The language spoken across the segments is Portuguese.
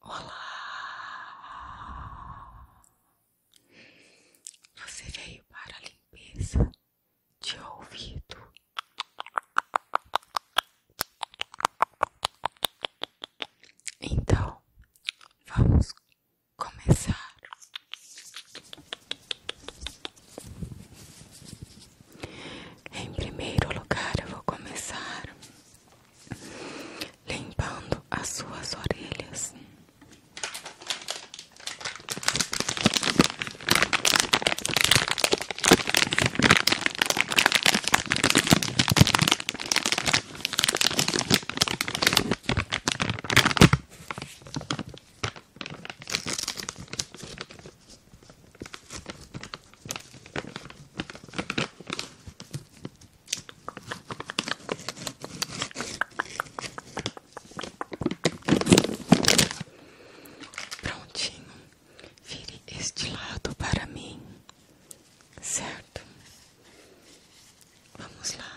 Olá! Você veio para a limpeza de ouvido. Então, vamos começar. Em primeiro lugar, eu vou começar limpando as suas orelhas. Prontinho, vire este lado para mim, certo? Vamos lá.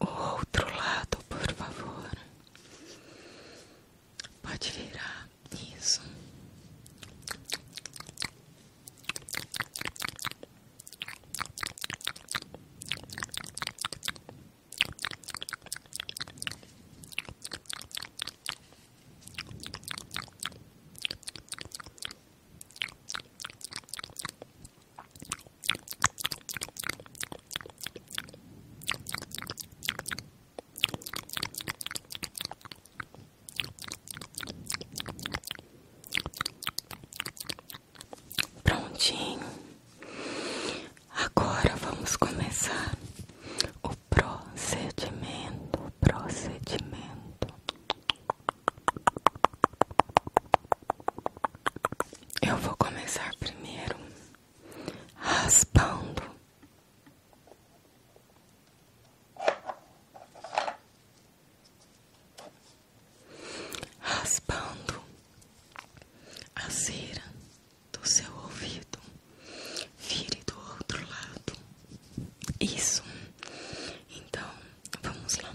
outro lado, por favor. Pode virar isso. Prontinho, agora vamos começar o procedimento. Procedimento. Eu vou começar primeiro raspando. Raspando a cera do seu ouvido, vire do outro lado. Isso. Então, vamos lá.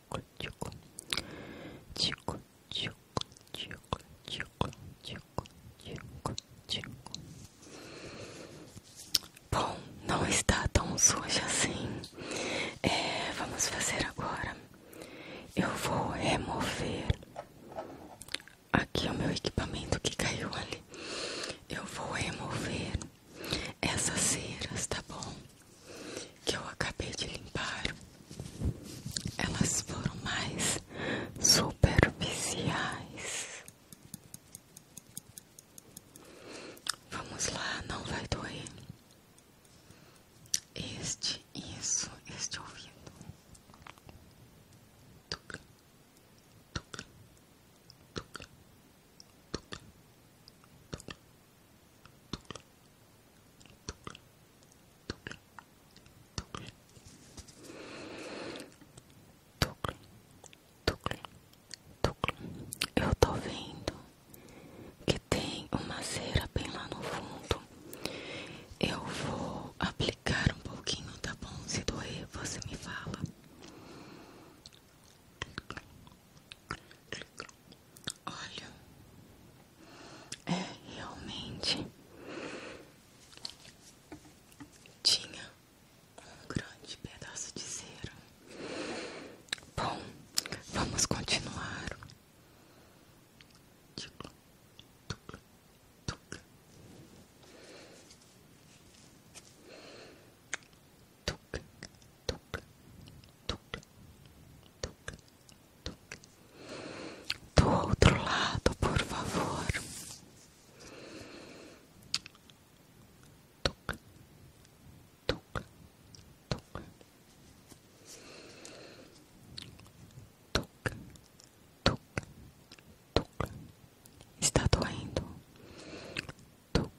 tico, tico, tico, tico, tico, tico, tico, tico, tico. Bom, não está tão sujo assim. É, vamos fazer agora. Eu vou remover aqui o meu equipamento que caiu ali. Eu vou remover essas ceras, tá bom? que eu acabei de limpar, elas foram mais superficiais. Vamos lá, não vai doer. Este, isso, este ouvido. Tuc, tuc, tuc, tuc, eu tô vendo que tem uma cera bem lá no fundo. Eu vou aplicar um pouquinho, tá bom? Se doer, você me fala. Olha, é realmente tinha um grande pedaço de cera. Bom, vamos continuar tuc, tuc, tuc, tuc, Do outro lado, por favor. Tuc, tuc, tuc. Tuc, tuc, tuc. Está doendo. Tuc,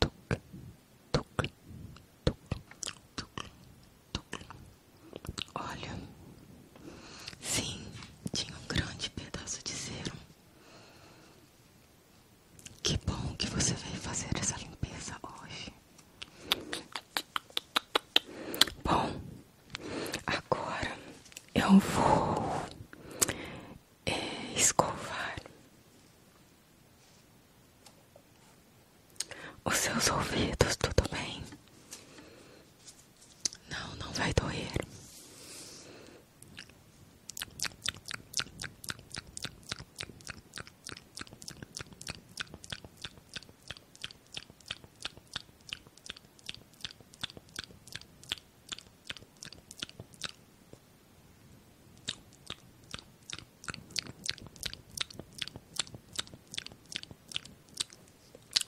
tuc, tuc, tuc, tuc, tuc. Olha, sim, tinha um grande pedaço de cero. Que bom que você veio fazer essa limpeza hoje. Bom, agora eu vou eh, escovar os seus ouvidos, tudo bem? Não, não vai doer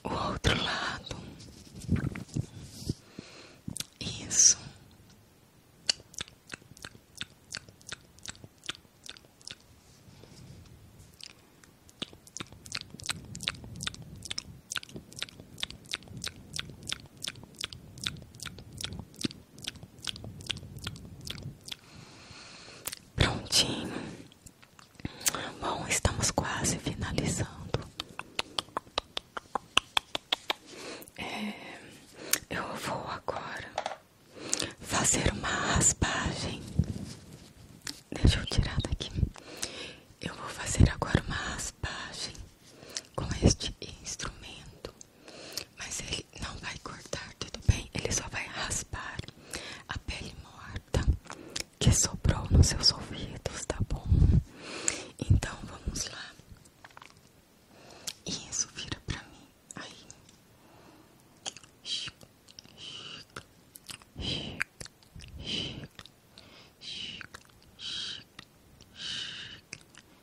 o outro lado, isso. Prontinho. Bom, estamos quase finalizando. É, eu vou agora fazer uma raspagem. Deixa eu tirar daqui. Eu vou fazer agora uma raspagem com este instrumento. Mas ele não vai cortar, tudo bem? Ele só vai raspar a pele morta que sobrou nos seus ouvidos, tá bom? Então vamos lá. Isso, vira pra mim. Aí. Chica, chica, chica, chica, chica,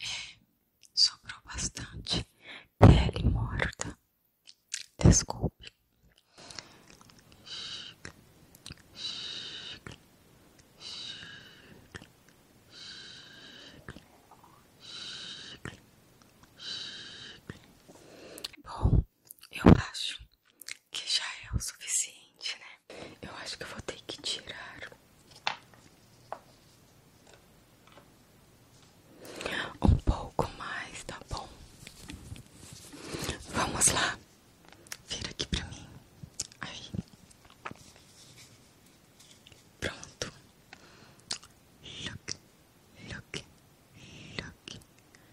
É, sobrou bastante pele morta. Desculpe. Bom, eu acho que já é o suficiente, né? Eu acho que eu vou ter que tirar um pouco mais, tá bom? Vamos lá. Vira aqui pra mim. Aí. Pronto. Look, look, look,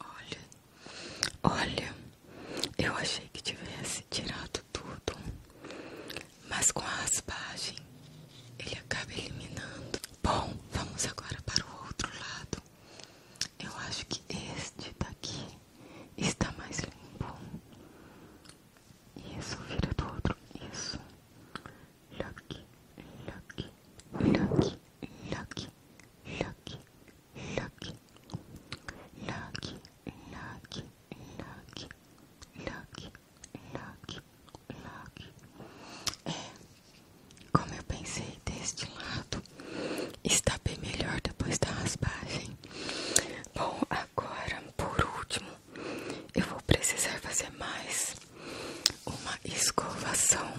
Olha, olha, eu achei que tivesse tirado tudo, mas com a raspagem ele acaba eliminando. Bom, vamos agora para o outro lado. Eu acho que este daqui está mais limpo. Isso, vira do outro. Isso. Lucky, lucky, lucky, lucky, look, look, look, look, look, look, look, look. É, como eu pensei, deste lado está bem melhor depois da raspagem. Bom, agora, por último, eu vou precisar fazer mais uma escovação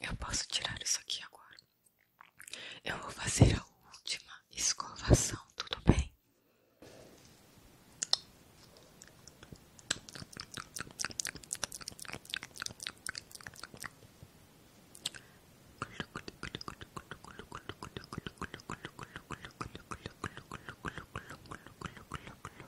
eu posso tirar isso aqui agora. Eu vou fazer a última escovação, tudo bem?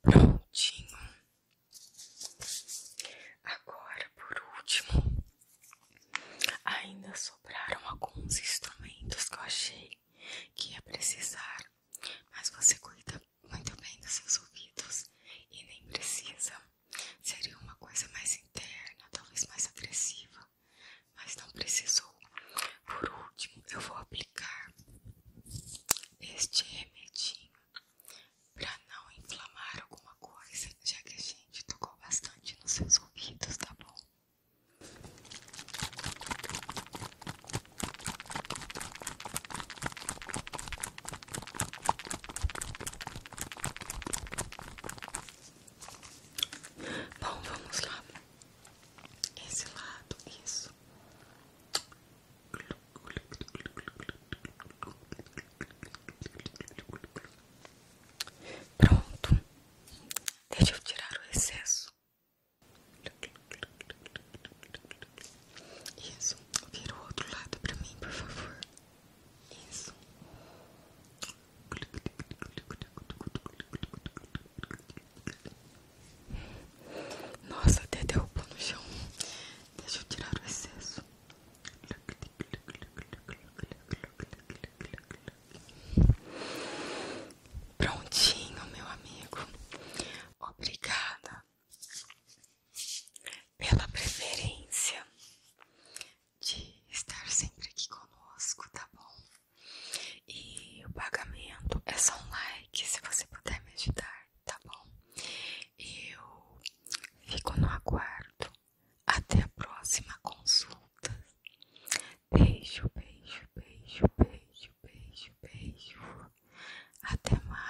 Prontinho. Agora, por último, ainda sobraram alguns instrumentos que eu achei que ia precisar, mas você cuida muito bem dos seus ouvidos e nem precisa. Seria uma coisa mais interna, talvez mais agressiva, mas não precisou. Por último, eu vou aplicar este remedinho pra não inflamar alguma coisa, já que a gente tocou bastante nos seus ouvidos, tá bom? Bom, vamos lá. Esse lado, isso. Pronto, deixa eu tirar o excesso. Isso, vira o outro lado para mim, por favor. Isso. Nossa, até derrubou no chão. Deixa eu tirar o excesso. Prontinho, meu amigo. Obrigada pela preferência de estar sempre aqui conosco, tá bom? E o pagamento é só um like se você puder me ajudar, tá bom? Eu Fico no aguardo. Até a próxima consulta. Beijo, beijo, beijo, beijo, beijo, beijo. Até mais.